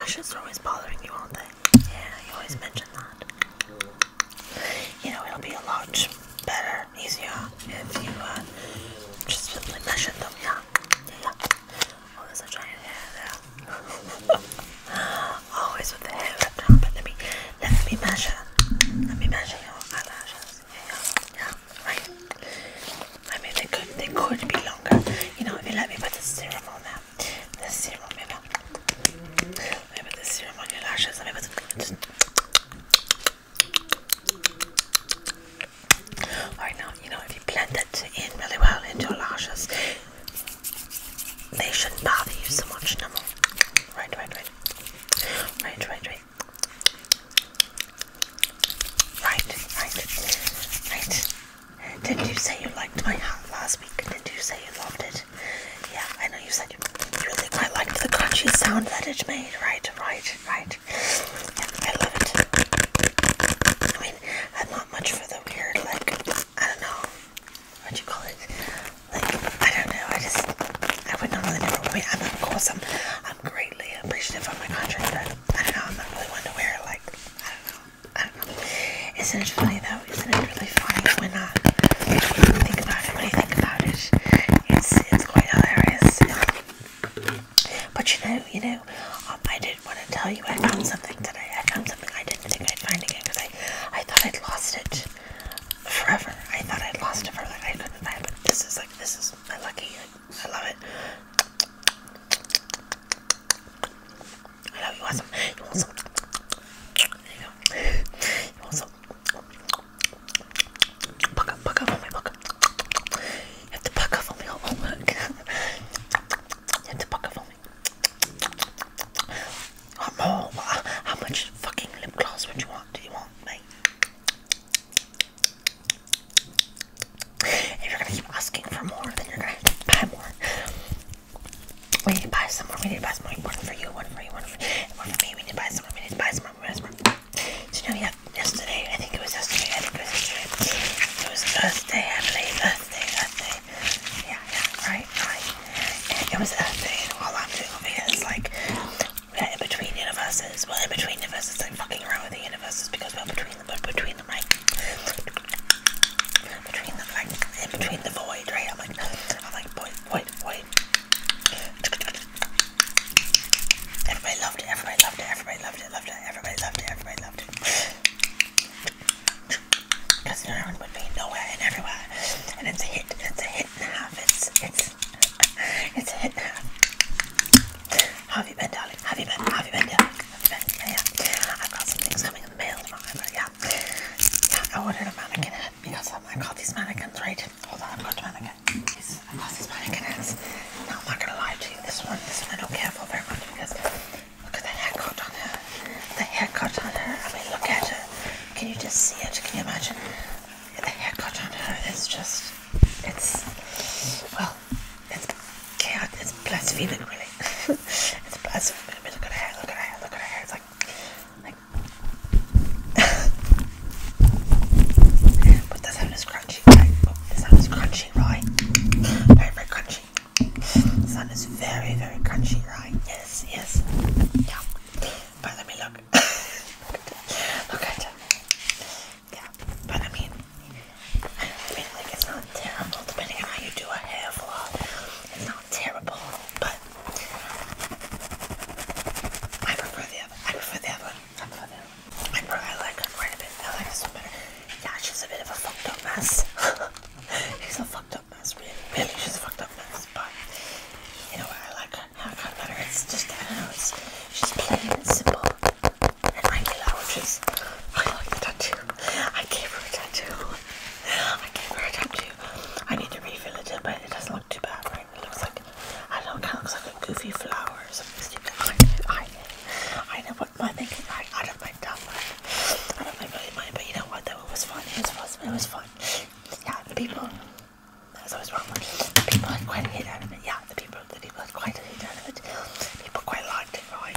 Ashes are always bothering you, aren't they? Yeah, you always mention that. You know, it'll be a lot better, easier if you uh, just simply measure them, yeah. Yeah, always with the hair wrapped up, but let me, let me measure. Let me measure your eyelashes. Yeah, yeah, yeah. right. I mean, they could, they could be longer. You know, if you let me put the serum on there, this serum, maybe. Maybe this serum on your lashes. Maybe it's. Right now, you know, if you blend it in really well into your lashes, they shouldn't bother you so much no more. Right, right, right. Right, right, right. Right, right, right. Didn't you say you liked my hat last week? Didn't you say you loved it? Yeah, I know you said you really quite liked the crunchy sound that it made. Right, right, right. Yeah, I love it. I mean, I'm not much for the weird, like, I don't know, what you call it? Like, I don't know, I just, I would not really never wear I'm not course, I'm, I'm greatly appreciative of my country, but I don't know, I'm not really one to wear, like, I don't know. Isn't it funny though? Isn't it really funny when I uh, think about it? When you think about it, it's it's quite hilarious. But you know, you know, um, I did not want to tell you I found something today. I found something I didn't think I'd find again because I I thought I'd lost it forever. I thought I'd lost it forever. I couldn't find it. But this is like this is my lucky. I love it. I love you. Want some? You want some? There you go. You want some? Buck up, buck up on me, buck up. You have to buck up on me. Oh, look. You have to buck up on me. Oh, How much fucking lip gloss would you want? Do you want, me? If you're gonna keep asking for more, then you're gonna have to buy more. We need to buy some more, we need to buy some more. One for you, one for you, one for you, one for me. We need to buy some more, we need to buy some more, we need to buy some more. So, you know, yeah, yesterday, I think it was yesterday, I think it was yesterday. It was Thursday, I believe, Thursday, Thursday. Yeah, yeah, right, right. And it was Thursday, and all I'm doing over here is like, we're in between universes. Well, in between universes, like fucking around with the universes because we're between but between them, like between the like in between the void, right? I'm like, I'm like, void, void, void. Everybody loved it. Everybody loved it. Everybody loved it. Loved it. Everybody loved it. Everybody loved it. Because everyone would be nowhere and everywhere, and it's a hit. It's a hit and a half. It's it's it's a hit and a half. Have you been, darling? Have you been? Have you been, darling? yeah. I've got some things coming in the mail tomorrow, but yeah. yeah. I ordered a mannequin head because um, I got these mannequins, right? Hold on, I've got mannequin. I got these mannequin heads. Now, I'm not going to lie to you, this one, this one I don't care for very much because look at the haircut on her. The haircut on her, I mean, look at her. Can you just see it? Can you imagine? The haircut on her is just, it's, well, well, it's chaos, it's blaspheming, really. it's blaspheming. look at her hair, look at her hair, look at her hair. It's like, like. but the sound is crunchy, right? But the is crunchy, right? Very, crunchy. The sound is very, very crunchy, right? Yes, yes. Yeah. But let me look. Look at her. Yeah. But I mean, I mean, like, it's not terrible, depending on how you do a hair vlog. It's not terrible, but I prefer the other. I prefer the other one. I prefer the other one. I, prefer, I like her quite a bit. I like this one better. Yeah, she's a bit of a fucked up mess. she's a fucked up mess, really. Really, she's a fucked up mess, but you know what? I like her haircut better. It's just, I don't know, it's, she's plain and simple and regular, which is. I like the tattoo. I gave her a tattoo. I gave her a tattoo. I need to refill it but it doesn't look too bad, right? It looks like, I don't know, it kind of looks like a goofy flower or something stupid. I, I, I know what my thinking, I, I don't mind that one. I don't mind really mind, but you know what, though, it was fun. It was, fun. it was fun. Yeah, the people, that's always wrong. The people had quite a hit out of it. Yeah, the people, the people had quite a hit out of it. People quite liked right.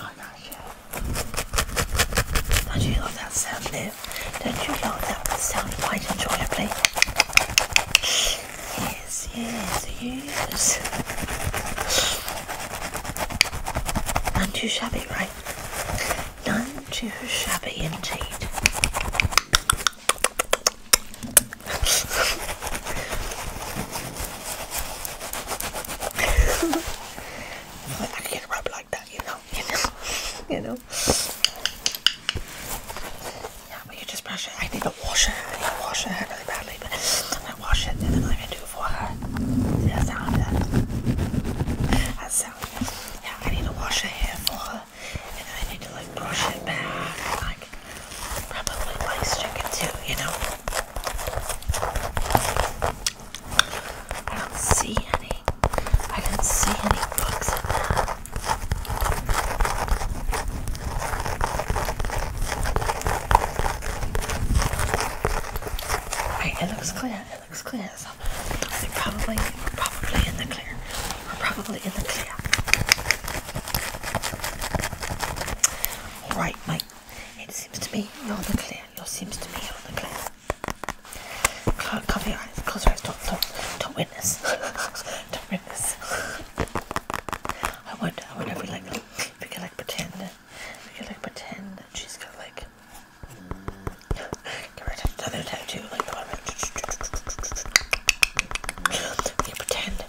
I'm not sure. Don't you like that sound there? Don't you like that sound quite enjoyably? Yes, yes, yes. None too shabby, right? None too shabby indeed. I can't rub like that, you know, you know, you know. Yeah, but you just brush it. I need to wash it. I need to wash it really badly, but I wash it and then I can do it for her. See that sound? That sound. Yeah, I need to wash her hair for her, and then I need to like brush it back, like probably like stick it too, you know. I don't see any. I don't see any books in there. Right, it looks clear. It looks clear. So I think probably, we're probably in the clear. We're probably in the clear. All right, my it seems to me you're the clear. It seems to me you're the clear. Close, cover your eyes. Close your eyes. Don't, don't, don't witness. don't witness. I wonder, I wonder if we like, if we can like pretend, if we could like pretend that she's got like, another tattoo, like We can pretend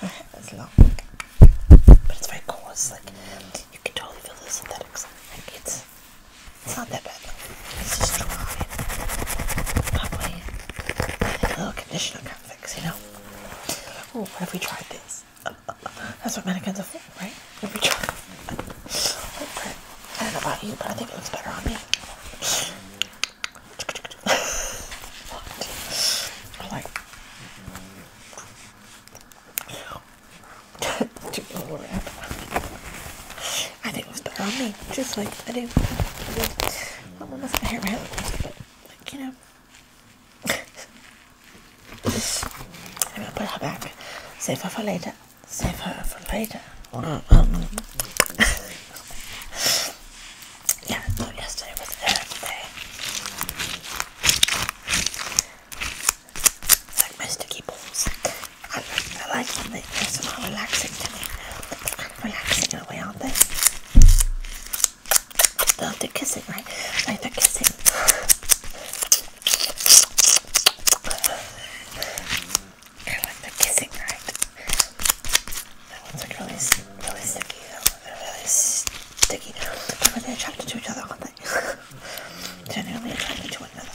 Her hair is long, but it's very cool. It's like you can totally feel the synthetics. Like it's it's not that bad. It's just dry. Probably a little conditioner kind fix, you know. Oh, what have we tried this? that's what mannequins are for, right? If we try. I don't know about you, but I think it looks better on me. I like I think it was better on me, just like I do. I do. I'm almost hair around, but you know. I'm gonna put her back. Save her for later. Save her for later. Um, um, yeah, no, yesterday was her like mysticky balls. I, like them, they, they're somehow relaxing to me. they kind of relaxing in a way, aren't they? Oh, they're kissing, right? Like they're kissing. I like the kissing, right? That one's like really, really sticky. They're really sticky. They're really attracted to each other, aren't they? Genuinely attracted to one another.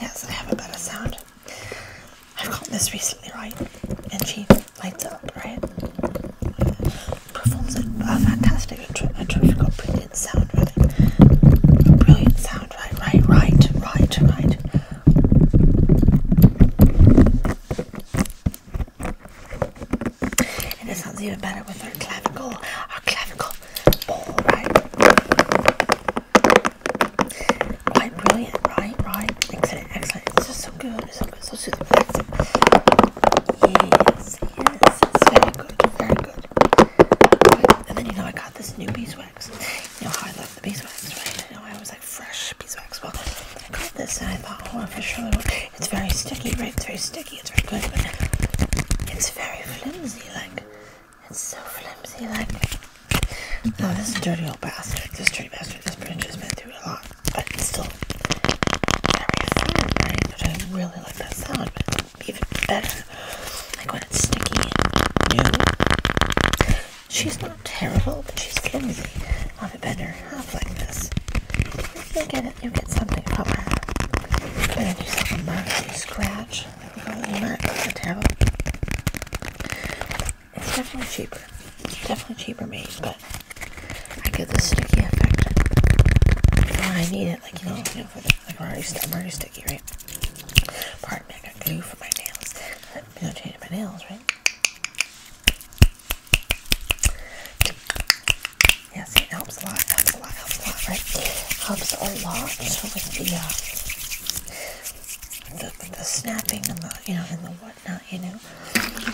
Yes, I have a better sound. I've got this recently, right? And she lights up, right? Performs a, a fantastic, a terrific, brilliant sound, really. brilliant sound, right? Right, right, right, right. And it sounds even better with our clavicle, our clavicle ball, right? brilliant, right? Right? Excellent, excellent. It's just so good, it's so good, so soothing. Yes, yes, it's very good, very good. And then you know I got this new beeswax. You know how I love the beeswax, right? I know I was like fresh beeswax. Well, I got this and I thought, oh, for sure, it's very sticky, right? It's very sticky, it's very good, but it's very flimsy, like, it's so flimsy, like. Oh, this dirty old bastard, this dirty bastard, this bridge has been through a lot, but it's still very fun, right? But I really like that sound, but it's even better, like when it's sticky and She's not terrible, but she's kind of am a better half like this. You'll get it. You'll get something from her. Better do something mark you scratch. You might look so terrible. It's definitely cheaper. It's definitely cheaper made, but I get the sticky effect I need it. Like you know, like I'm already sticky, right? partner to do for my nails. Let me go change my nails, right? Yes, it helps a lot, helps a lot, helps a lot, right? Helps a lot so with the, uh, the, the snapping and the, you know, and the whatnot, you know?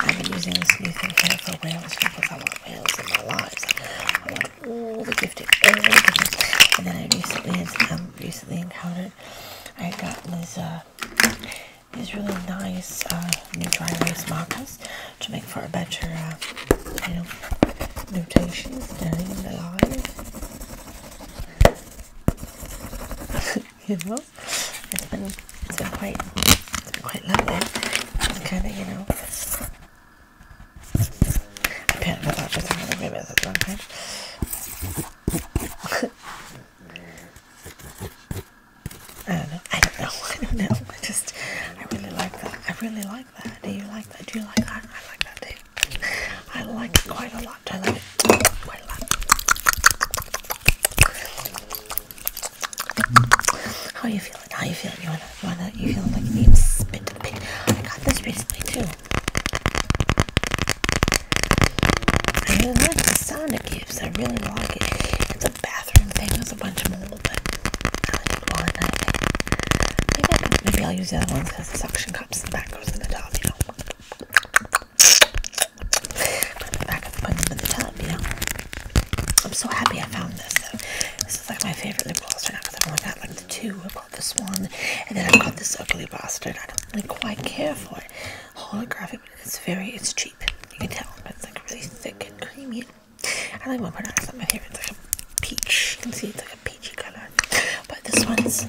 I've been using this new thing here for whales because I want whales in my lives. I want all the gifted, all the gifted. And then I recently, um, recently encountered I got these uh, these really nice uh, new dry erase markers to make for a better uh, you know notations the line. you know, it's been it's been quite quite lovely. kind of you know. I can't remember just how to remember one time. I don't know. I don't know. I don't know. I just, I really like that. I really like that. Do you like that? Do you like that? I like that too. I like it quite a lot. I like it quite a lot. How are you feeling? How are you feeling? You wanna, you wanna, you feeling like you need spit a bit? I got this recently too. I really like the sound it gives. I really like it. It's a bathroom thing. There's a bunch more, but I maybe, I will use the other ones because the suction cups in the back goes in the tub, you know. Put them back and put them in the tub, you know. I'm so happy I found this. Though. This is like my favorite lip gloss right now because I've only got like the two this one, and then I have got this ugly bastard. I don't really quite care for it. Holographic, but it's very, it's cheap. You can tell, it's like really thick and creamy. I like my product, it's not my favorite. It's like a peach. You can see it's like a peachy color. But this one's,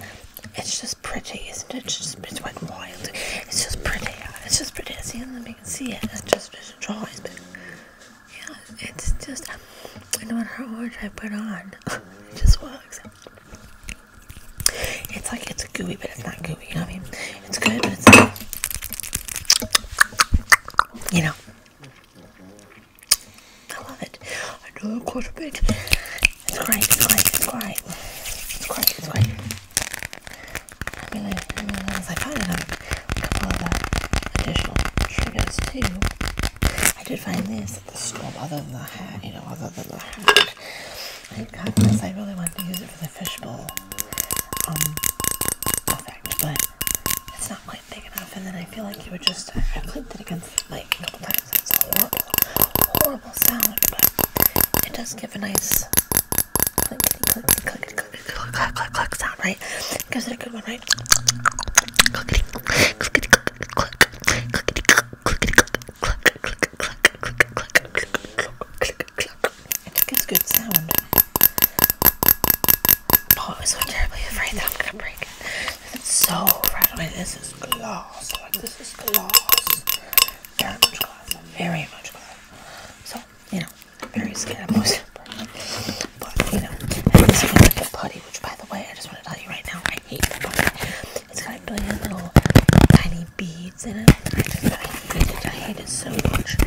it's just pretty, isn't it? It's just, it's went wild. It's just pretty. It's just pretty. See, I do you can see it. It's just, it's drawings, but yeah, it's just, I know what her order I put on. it just works. It's like it's gooey, but it's not gooey. You know I mean? It's good, but it's not. You know. I love it. I do a quarter bit. It's great. It's great. It's great. It's great. It's great. I mean, I, mean, I find it, a couple of uh, additional triggers too. I did find this at the store, other than the hat, you know, other than the hat. I got this, I really wanted to use it for the fishbowl effect, but it's not quite big enough, and then I feel like you would just, I, I it against the a couple times, it's a horrible, horrible sound, but it does give a nice clickety clickety clickety clickety click click click click sound, right? Gives it a good one, right? Clickety clickety clickety click clickety click I think it's good sound. Oh, I was so terribly afraid that I'm gonna break it. It's so rattling. This is gloss. Like this is gloss. Very much gloss. Very much gloss. So, you know, very scared. but you know, I just like putty which by the way, I just want to tell you right now, I hate that It's got little tiny beads in it. I hate it. so much.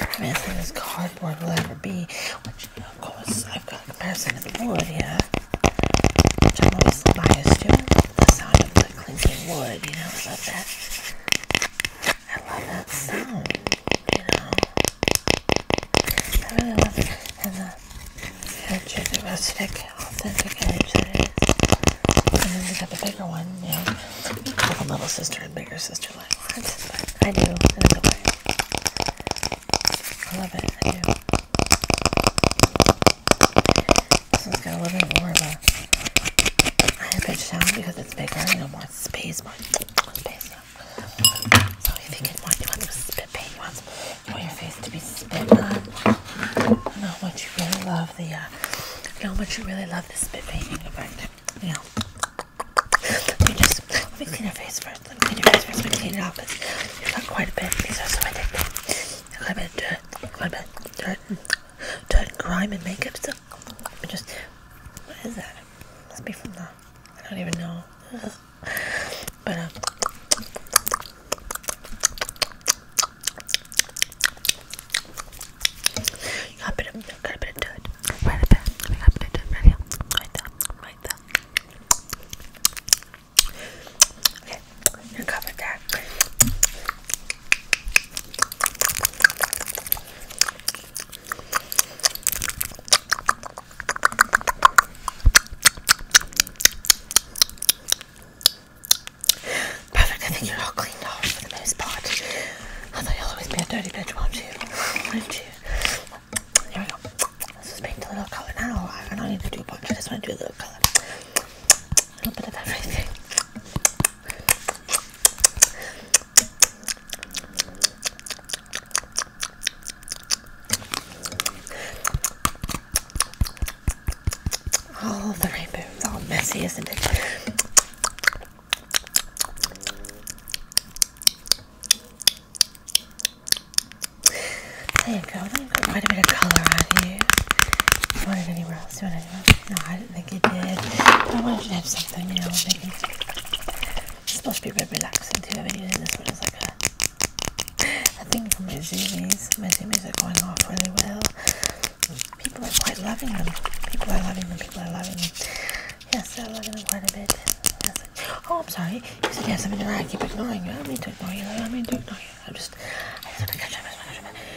I mean, as as cardboard will ever be, which of course I've got a comparison to the wood, yeah. Which I'm always biased to like clinking wood, you know, I love that. I love that sound, you know. I really love it. And the edge of the rustic, authentic edge that it is. And then we got the bigger one, you know. Have a little sister and bigger sister like what? But I do, in a way. I love it, I do. This one's got a little bit more of a higher pitch sound because it's bigger, you know, more space, So if you can spit paint, you you want your face to be spit on. You know what you really love the, uh, you know you really love spit painting effect. You know. Let me just, let me clean your face first. Let me clean your face Let me clean it off because you've got quite a bit. These are so addictive. You've got a bit of dirt, a bit of dirt, dirt and grime and makeup still just what is that? Must be from the I don't even know. but uh, you got a bit of got a bit of dirt right there. right here, right there, right there. Okay, you covered that. Perfect, I think you're all cleaned off for the most part. Although you'll always be a dirty bitch, won't you? Won't you? Here we go. Let's just paint a little color now. I don't need to do a bunch, I just want to do a little color. A little bit of everything. Oh, the rainbow's all messy, isn't it? There you go. Let me put quite a bit of color on you. want it anywhere else? No, I didn't think it did. But I wanted to have something, you know, thinking it's supposed to be very relaxing too. I've been using this one as like a, a my zoomies. My zoomies are going off really well. People are quite loving them. People are loving them. People are loving them. Yes, I'm loving them quite a bit. Oh, I'm sorry. You said yes, I'm in a I keep ignoring you. I don't to ignore you. I don't to ignore you. I'm just, I just want to catch up. I just want to catch up.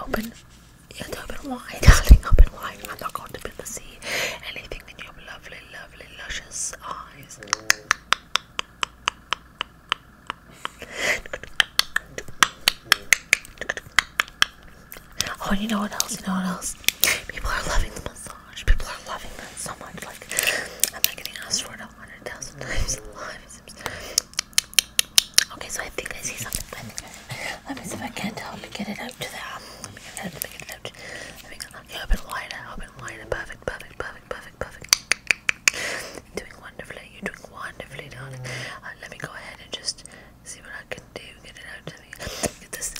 Open. You have to open wide, darling. Open wide. I'm not going to be able to see anything in your lovely, lovely, luscious eyes. Oh, you know what else? You know what else? People are loving the massage. People are loving that so much. Like, I'm not getting asked for a hundred thousand times. Live. Okay, so I think I see something. let me see if I can't help me get it out to the let me get it out, let me get it out. Let me get it out. Okay, open wider, open wider, perfect, perfect, perfect, perfect, perfect. Doing wonderfully, you're doing wonderfully, darling. Uh, let me go ahead and just see what I can do. Get it out to me. Get this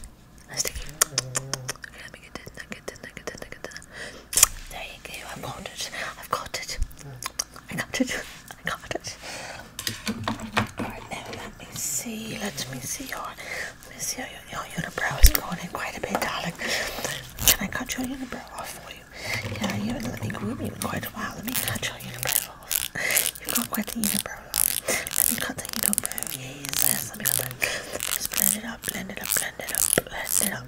sticky. Okay, let me get this, get this, get this, get this. There you go, I've got it, I've got it, I got it, I got it. Alright, now let me see, let me see your, let me see your, your eyebrows is going in quite a bit, darling. Can I cut your eyebrows off for you? Yeah, you haven't let me groom you in quite a while, let me cut your eyebrows off. You've got quite the unibrow off. Let me cut the unibrow, yes, yes, let me cut it. Just blend it up, blend it up, blend it up, blend it up.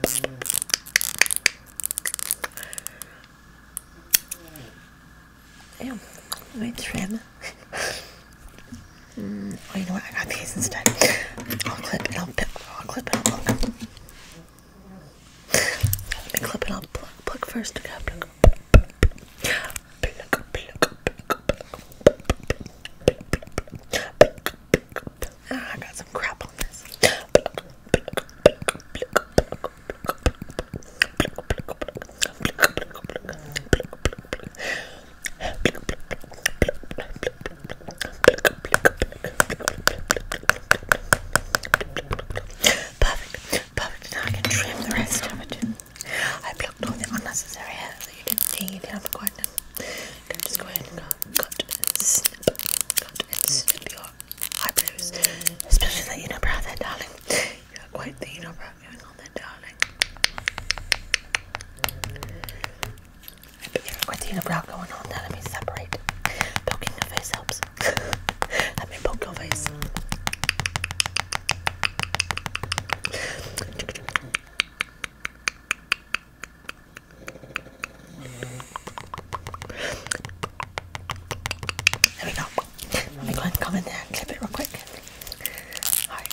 Yeah, i trim. oh, you know what? I got these instead. I'll clip and I'll, I'll clip and I'll pluck. Let me clip and I'll pluck, pluck first. pluck Ah, I got some crap on this. Perfect, perfect. Now I can trim the rest of it. I plucked all the unnecessary hair so you can see down quite now. Can just go ahead and cut snip, cut, it's of your eyebrows. Especially that unibrow there, darling. You are quite the unibrow going on there, darling. you got quite the unibrow going on Let me separate. Poking your face helps. Let me poke your face. There we go. Let me go and come in there and clip it real quick. Alright,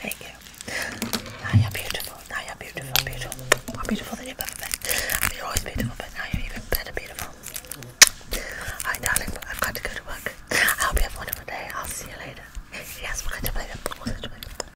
Thank you. Now you're beautiful. Now you're beautiful, beautiful. More beautiful than ever You're always beautiful, but now you're even better beautiful. Alright, darling, I've got to go to work. I hope you have a wonderful day. I'll see you later. Yes, we're going to play the ball.